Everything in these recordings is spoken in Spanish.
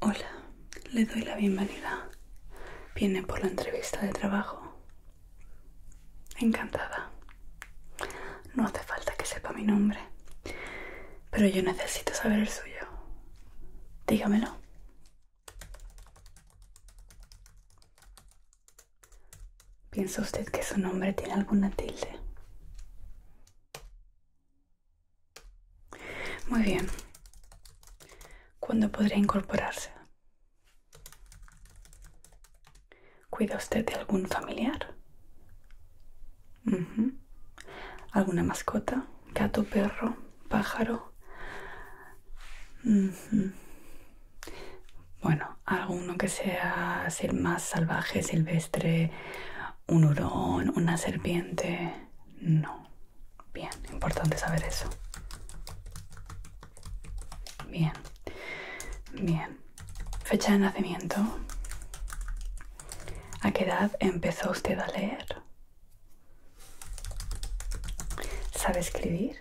Hola, le doy la bienvenida. Viene por la entrevista de trabajo. Encantada. No hace falta que sepa mi nombre, pero yo necesito saber el suyo. Dígamelo. ¿Piensa usted que su nombre tiene alguna tilde? Muy bien. ¿Cuándo podría incorporarse? ¿Cuida usted de algún familiar? ¿Alguna mascota? ¿Gato, perro, pájaro? Bueno, alguno que sea más salvaje, silvestre, un hurón, una serpiente. No. Bien, importante saber eso. Bien, bien. Fecha de nacimiento. ¿A qué edad empezó usted a leer? ¿Sabe escribir?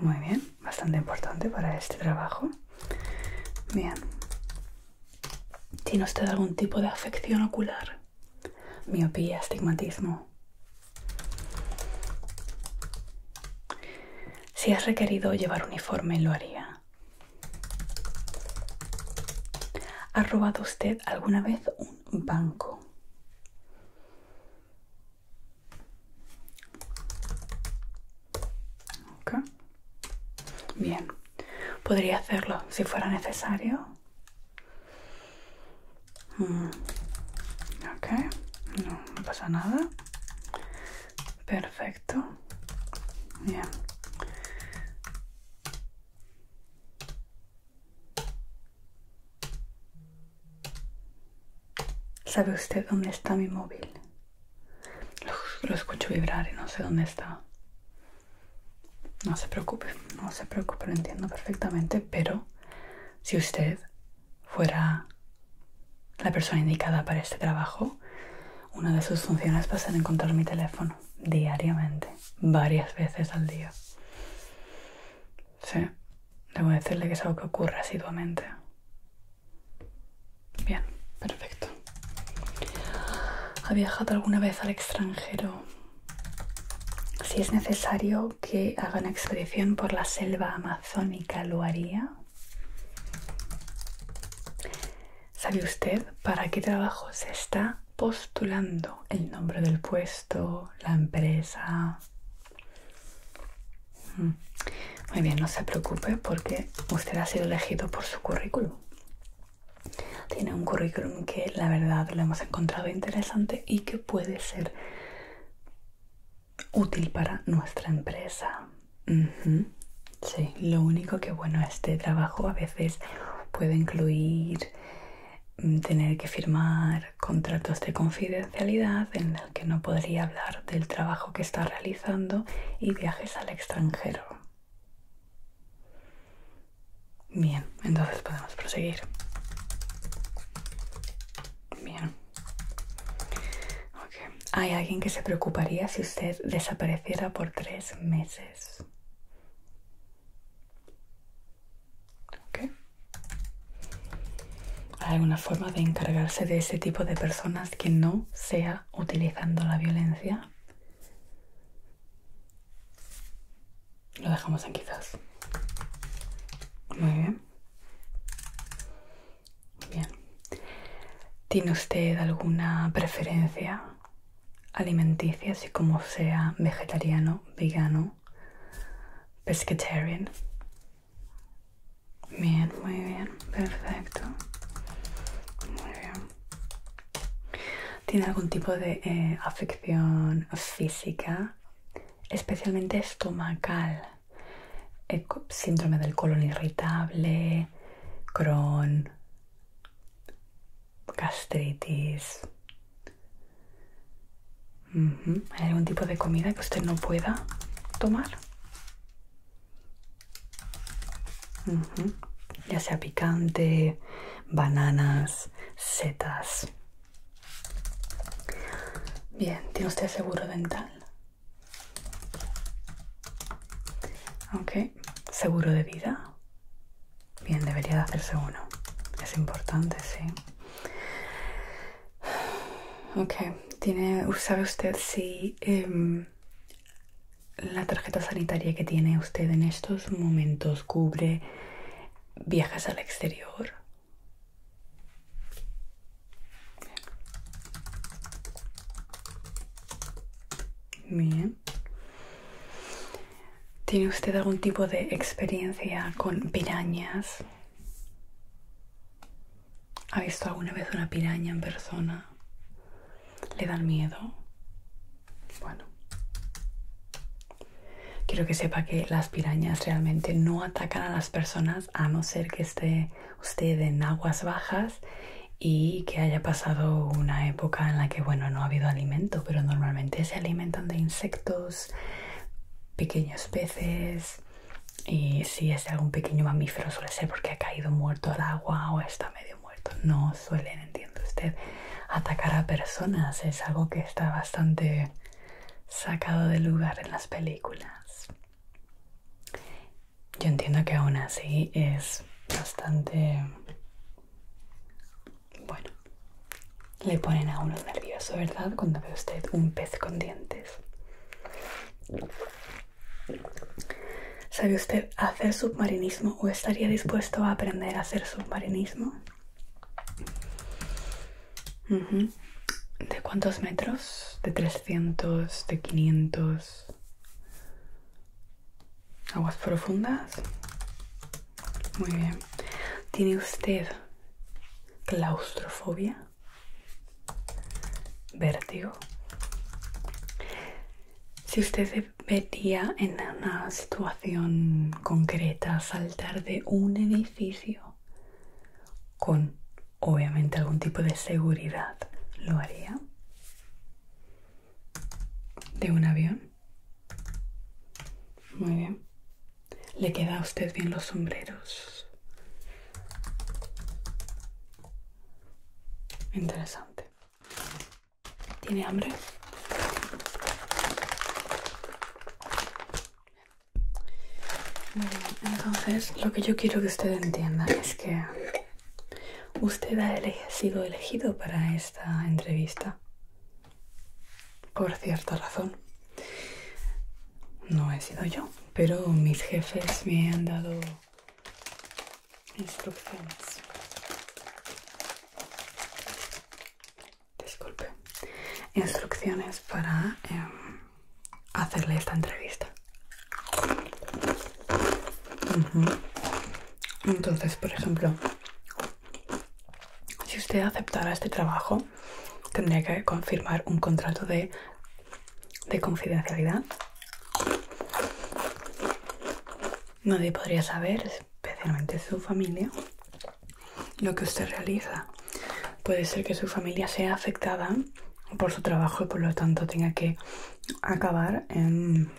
Muy bien, bastante importante para este trabajo. Bien. ¿Tiene usted algún tipo de afección ocular? Miopía, astigmatismo. Si es requerido llevar uniforme, lo haría. ¿Ha robado usted alguna vez un banco? Bien. Podría hacerlo si fuera necesario. Mm. No, pasa nada. Perfecto. ¿Sabe usted dónde está mi móvil? Lo, escucho vibrar y no sé dónde está. No se preocupe, no se preocupe, lo entiendo perfectamente, pero si usted fuera la persona indicada para este trabajo, una de sus funciones va a ser encontrar mi teléfono diariamente, varias veces al día. Sí, debo decirle que es algo que ocurre asiduamente. Bien, perfecto. ¿Ha viajado alguna vez al extranjero? Si es necesario que haga una expedición por la selva amazónica, ¿lo haría? ¿Sabe usted para qué trabajo se está postulando? El nombre del puesto, la empresa. Mm. Muy bien, no se preocupe porque usted ha sido elegido por su currículum. Tiene un currículum que la verdad lo hemos encontrado interesante y que puede ser útil para nuestra empresa. Sí, lo único que bueno, este trabajo a veces puede incluir mm, tener que firmar contratos de confidencialidad que no podría hablar del trabajo que está realizando y viajes al extranjero. Bien, entonces podemos proseguir. Bien. Hay alguien que se preocuparía si usted desapareciera por tres meses. Okay. ¿Hay alguna forma de encargarse de ese tipo de personas que no sea utilizando la violencia? Lo dejamos en quizás. Muy bien. Bien. ¿Tiene usted alguna preferencia alimenticia, así como sea vegetariano, vegano, pescatarian? Bien, muy bien, perfecto. Muy bien. ¿Tiene algún tipo de eh, afección física? Especialmente estomacal. Eh, síndrome del colon irritable, Crohn, gastritis, ¿Hay algún tipo de comida que usted no pueda tomar? Ya sea picante, bananas, setas. Bien, ¿tiene usted seguro dental? Ok, seguro de vida. Bien, debería de hacerse uno. Es importante, sí. Ok, ¿sabe usted si em, la tarjeta sanitaria que tiene usted en estos momentos cubre viajes al exterior? Bien. ¿Tiene usted algún tipo de experiencia con pirañas? ¿Ha visto alguna vez una piraña en persona? ¿Le dan miedo? Bueno, quiero que sepa que las pirañas realmente no atacan a las personas a no ser que esté usted en aguas bajas y que haya pasado una época en la que, bueno, no ha habido alimento, pero normalmente se alimentan de insectos, pequeños peces, y si es algún pequeño mamífero suele ser porque ha caído muerto al agua o está medio muerto. No suelen, entiende usted, atacar a personas. Es algo que está bastante sacado de lugar en las películas. Yo entiendo que aún así es bastante... Bueno, le ponen a uno nervioso, ¿verdad? Cuando ve usted un pez con dientes. ¿Sabe usted hacer submarinismo o estaría dispuesto a aprender a hacer submarinismo? ¿De cuántos metros? ¿De 300? ¿De 500? ¿Aguas profundas? Muy bien. ¿Tiene usted claustrofobia? vértigo. Si usted se metía en una situación concreta, saltar de un edificio con obviamente algún tipo de seguridad, ¿lo haría? ¿De un avión? Muy bien. Le queda a usted bien los sombreros. Interesante. ¿Tiene hambre? entonces lo que yo quiero que usted entienda es que usted ha sido elegido para esta entrevista por cierta razón no he sido yo, pero mis jefes me han dado instrucciones. Disculpe. Instrucciones para em, hacerle esta entrevista. Entonces, por ejemplo, si usted aceptara este trabajo, tendría que confirmar un contrato de, de confidencialidad. Nadie podría saber, especialmente su familia, lo que usted realiza. Puede ser que su familia sea afectada por su trabajo y por lo tanto tenga que acabar en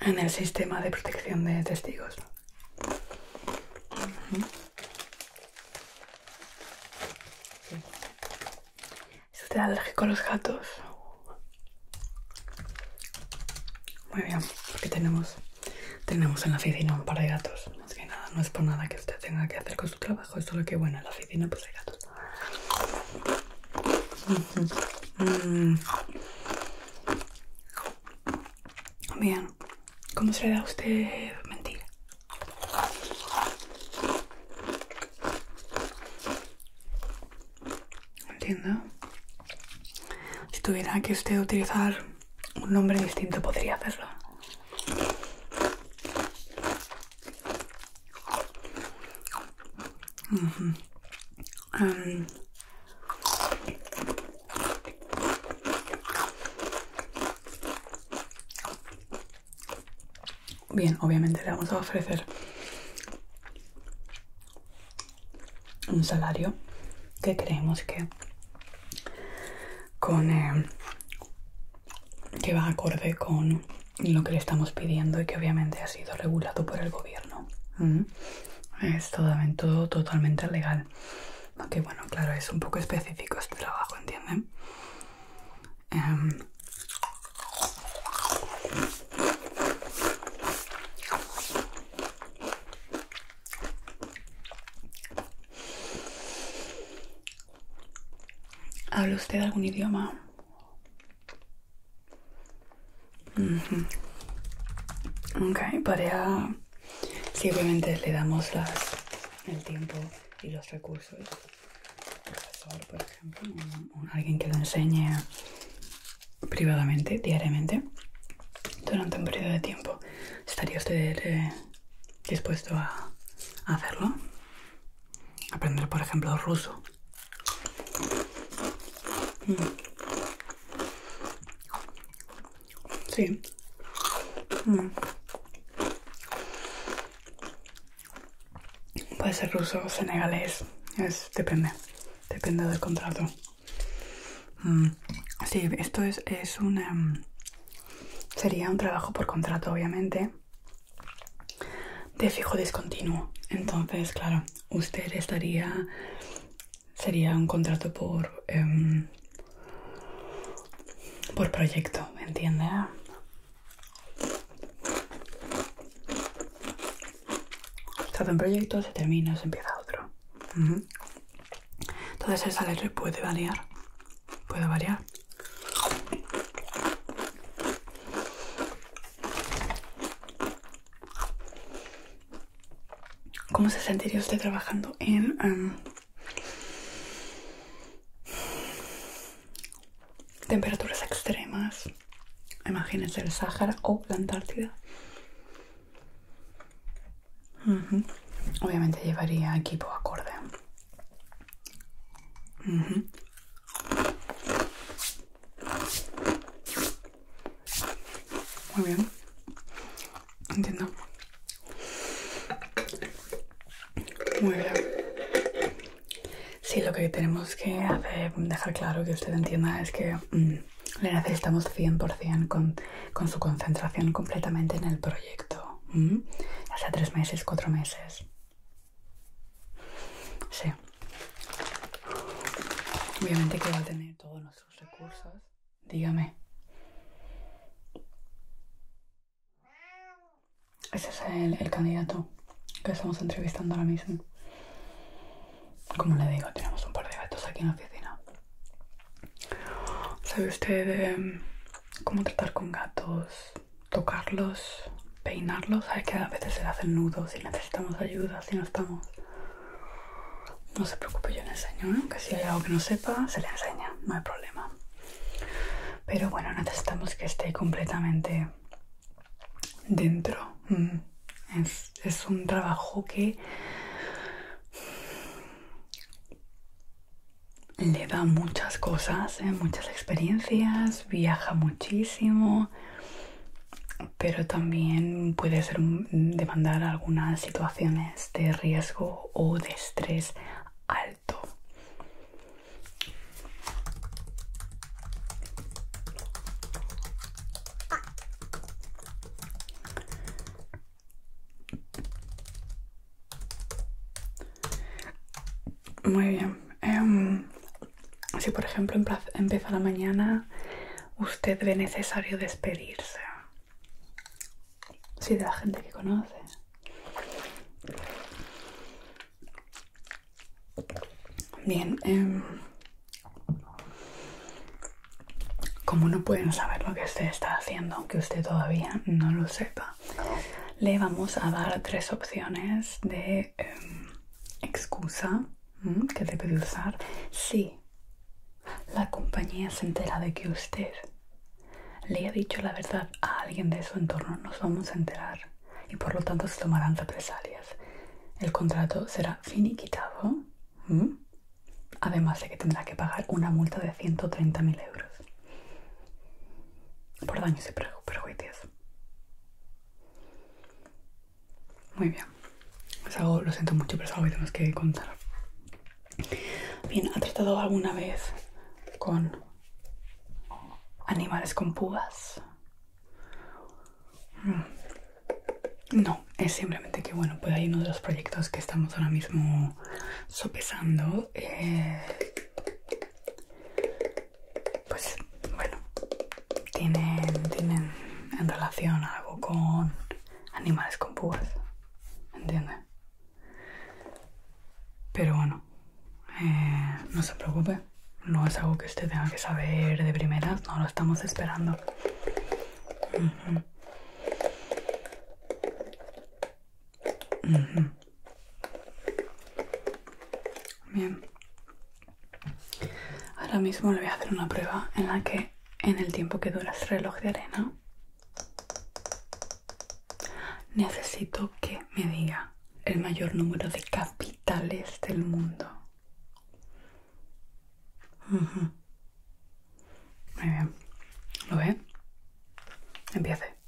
en el sistema de protección de testigos. ¿Usted ¿Es alérgico a los gatos? Muy bien, porque tenemos, tenemos en la oficina un par de gatos. Así que nada, no es por nada que usted tenga que hacer con su trabajo, es solo que bueno, en la oficina pues hay gatos. Bien, ¿cómo se le da a usted mentir? Entiendo. Si tuviera que usted utilizar un nombre distinto, podría hacerlo. Bien, obviamente le vamos a ofrecer un salario que creemos que con eh, que va acorde con lo que le estamos pidiendo y que obviamente ha sido regulado por el gobierno. ¿Mm? Es todo, totalmente legal. Aunque bueno, claro, es un poco específico este trabajo, ¿entienden? Em. ¿Habla usted algún idioma? Ok, para simplemente le damos el tiempo y los recursos. profesor, por ejemplo, o, alguien que lo enseñe privadamente, diariamente, durante un periodo de tiempo. ¿Estaría usted eh, dispuesto a hacerlo? Aprender, por ejemplo, ruso. Mm. Sí. Mm. Puede ser ruso o senegalés. Es, depende. Depende del contrato. Mm. Sí, esto es, es Sería un trabajo por contrato, obviamente de fijo discontinuo. Entonces, claro, usted estaría... Sería un contrato por... Em, por proyecto, ¿me entiende? Se un proyecto, se termina, se empieza otro. Entonces esa letra puede variar. Puede variar. ¿Cómo se sentiría usted trabajando en... temperaturas extremas? Imagínense el Sáhara o la Antártida. Obviamente llevaría equipo acorde. Muy bien. Entiendo. Muy bien. Sí, lo que tenemos que hacer, dejar claro que usted entienda es que mm, le necesitamos 100% con, su concentración completamente en el proyecto. Mm, ya Hasta tres meses, cuatro meses. Sí. Obviamente que va a tener todos nuestros recursos. Dígame. Ese es el, candidato que estamos entrevistando ahora mismo. Como le digo, tenemos un par de gatos aquí en la oficina. ¿Sabe usted em, cómo tratar con gatos? tocarlos, peinarlos. Hay que a veces se le hacen nudos si necesitamos ayuda, si no estamos. No se preocupe, yo le enseño, ¿eh? que si hay algo que no sepa, se le enseña, no hay problema. Pero bueno, necesitamos que esté completamente dentro. Mm. es un trabajo que le da muchas cosas, ¿eh? muchas experiencias, viaja muchísimo, pero también puede ser demandar algunas situaciones de riesgo o de estrés alto. Muy bien. Em, si por ejemplo empieza la mañana, usted ve necesario despedirse. Si de la gente que conoce. Bien. Em, como no pueden saber lo que usted está haciendo, aunque usted todavía no lo sepa, le vamos a dar tres opciones de em, excusa que debe usar si la compañía se entera de que usted le ha dicho la verdad a alguien de su entorno. Nos vamos a enterar y por lo tanto se tomarán represalias. El contrato será finiquitado, además de que tendrá que pagar una multa de 130.000 euros. Por y perjuicios. Muy bien. Es algo, lo siento mucho, pero es algo que tenemos que contar. Bien, ¿ha tratado alguna vez con animales con púas? Mm. No, es simplemente que, bueno, pues hay uno de los proyectos que estamos ahora mismo sopesando. Eh, pues bueno tienen, en relación algo con animales con púas ¿entiendes? pero bueno eh, no se preocupe no es algo que usted tenga que saber de primeras no lo estamos esperando Bien. Ahora mismo le voy a hacer una prueba en la que en el tiempo que dura el este reloj de arena necesito que me diga el mayor número de capitales del mundo. Muy bien. ¿Lo ve? Empiece.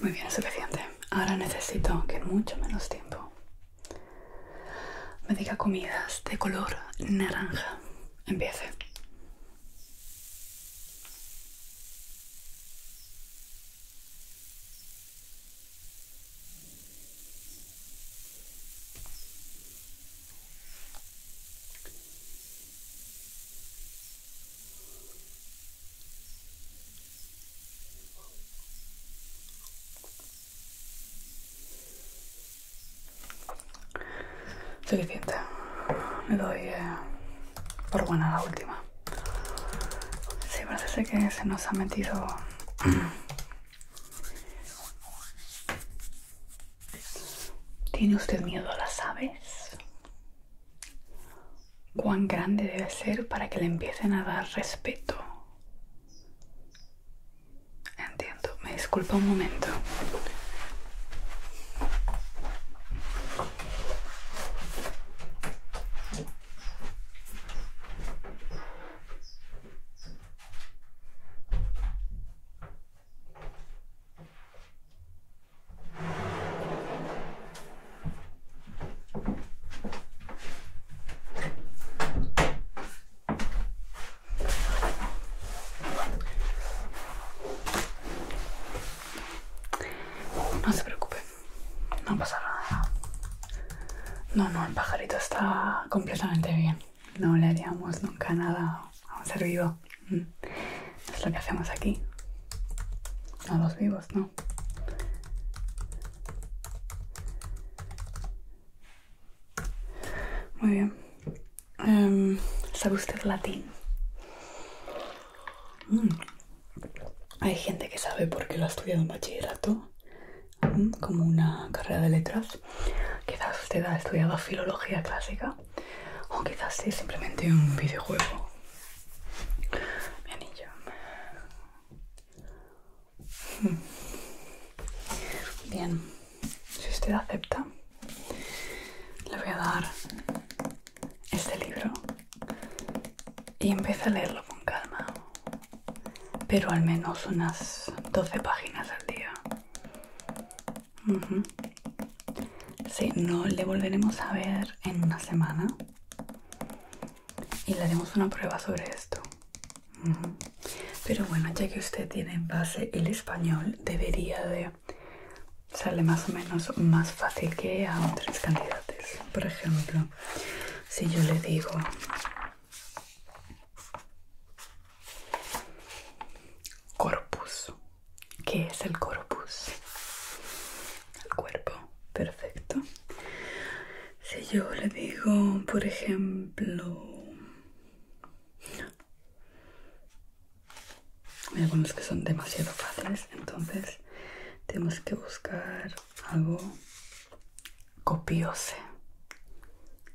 Muy bien, suficiente. Ahora necesito que en mucho menos tiempo me diga comidas de color naranja. Empiece. Suficiente. Me doy eh, por buena la última. Sí, parece que se nos ha metido ¿Tiene usted miedo a las aves? ¿Cuán grande debe ser para que le empiecen a dar respeto? Entiendo, me disculpa un momento. No se preocupe, no pasa nada. No, no, el pajarito está completamente bien. No le haríamos nunca nada a un ser vivo. Mm. Es lo que hacemos aquí. A los vivos, ¿no? Muy bien. Em, ¿Sabe usted latín? Mm. Hay gente que sabe porque lo ha estudiado en bachillerato como una carrera de letras. Quizás usted ha estudiado filología clásica o quizás sí, simplemente un videojuego. Hmm. Bien, si usted acepta, le voy a dar este libro y empieza a leerlo con calma pero al menos unas 12 páginas al día. Si Sí, no le volveremos a ver en una semana y le haremos una prueba sobre esto. Pero bueno, ya que usted tiene en base el español, debería de sale más o menos más fácil que a otras candidatos. Por ejemplo, si yo le digo Corpus. ¿Qué es el corpus? El cuerpo. Perfecto. Si yo le digo, por ejemplo... Hay algunos que son demasiado fáciles, entonces tenemos que buscar algo copiose.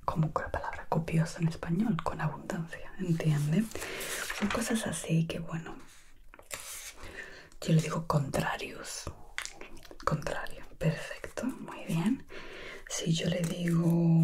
Como la palabra copiosa en español, con abundancia, ¿entiende? Son cosas así que, bueno, yo le digo contrarios. Contrario, perfecto, muy bien. Si yo le digo...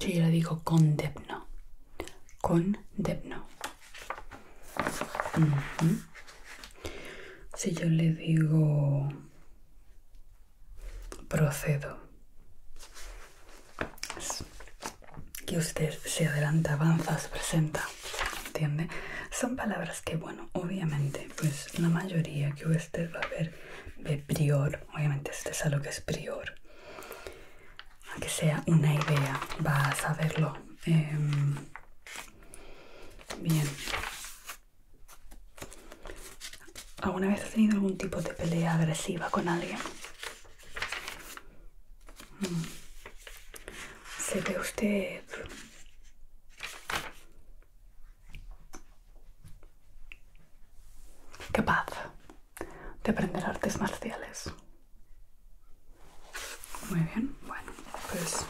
Si Yo le digo con Condepno. Con Si yo le digo procedo, que usted se adelanta, avanza, se presenta, ¿entiende? Son palabras que, bueno, obviamente, pues la mayoría que usted va a ver ve prior, obviamente este es algo lo que es prior, aunque sea una idea, vas a verlo. Em, bien. ¿Alguna vez ha tenido algún tipo de pelea agresiva con alguien? Mm. ¿Se ve usted capaz de aprender artes marciales. Muy bien, bueno, pues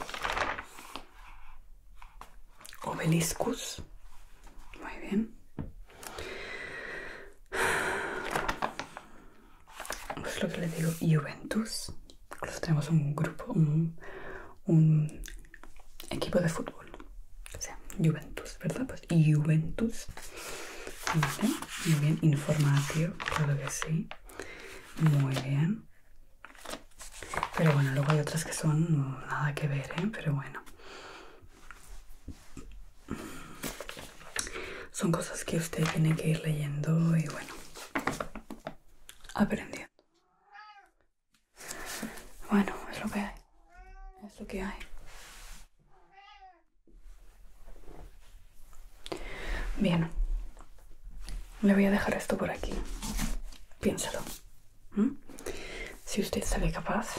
obeliscus. Muy bien. Es lo que le digo, Juventus. Incluso tenemos un grupo, un, un equipo de fútbol. O sea, Juventus, ¿verdad? Juventus. Muy bien, informativo, creo que sí. Muy bien. Pero bueno, luego hay otras que son nada que ver, ¿eh? Pero bueno. Son cosas que usted tiene que ir leyendo y bueno, aprendiendo. Bueno, es lo que hay. Es lo que hay. Bien, le voy a dejar esto por aquí. Piénsalo. ¿Mm? Si usted sale capaz,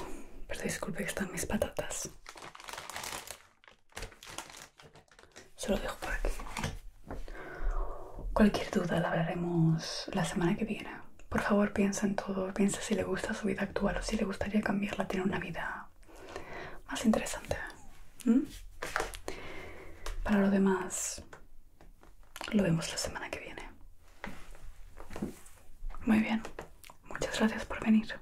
pero disculpe que están mis patatas. Se lo dejo por aquí. Cualquier duda la hablaremos la semana que viene. Por favor, piensa en todo. Piensa si le gusta su vida actual o si le gustaría cambiarla, tiene una vida más, interesante. Para lo demás, lo vemos la semana que viene. Muy bien, muchas gracias por venir.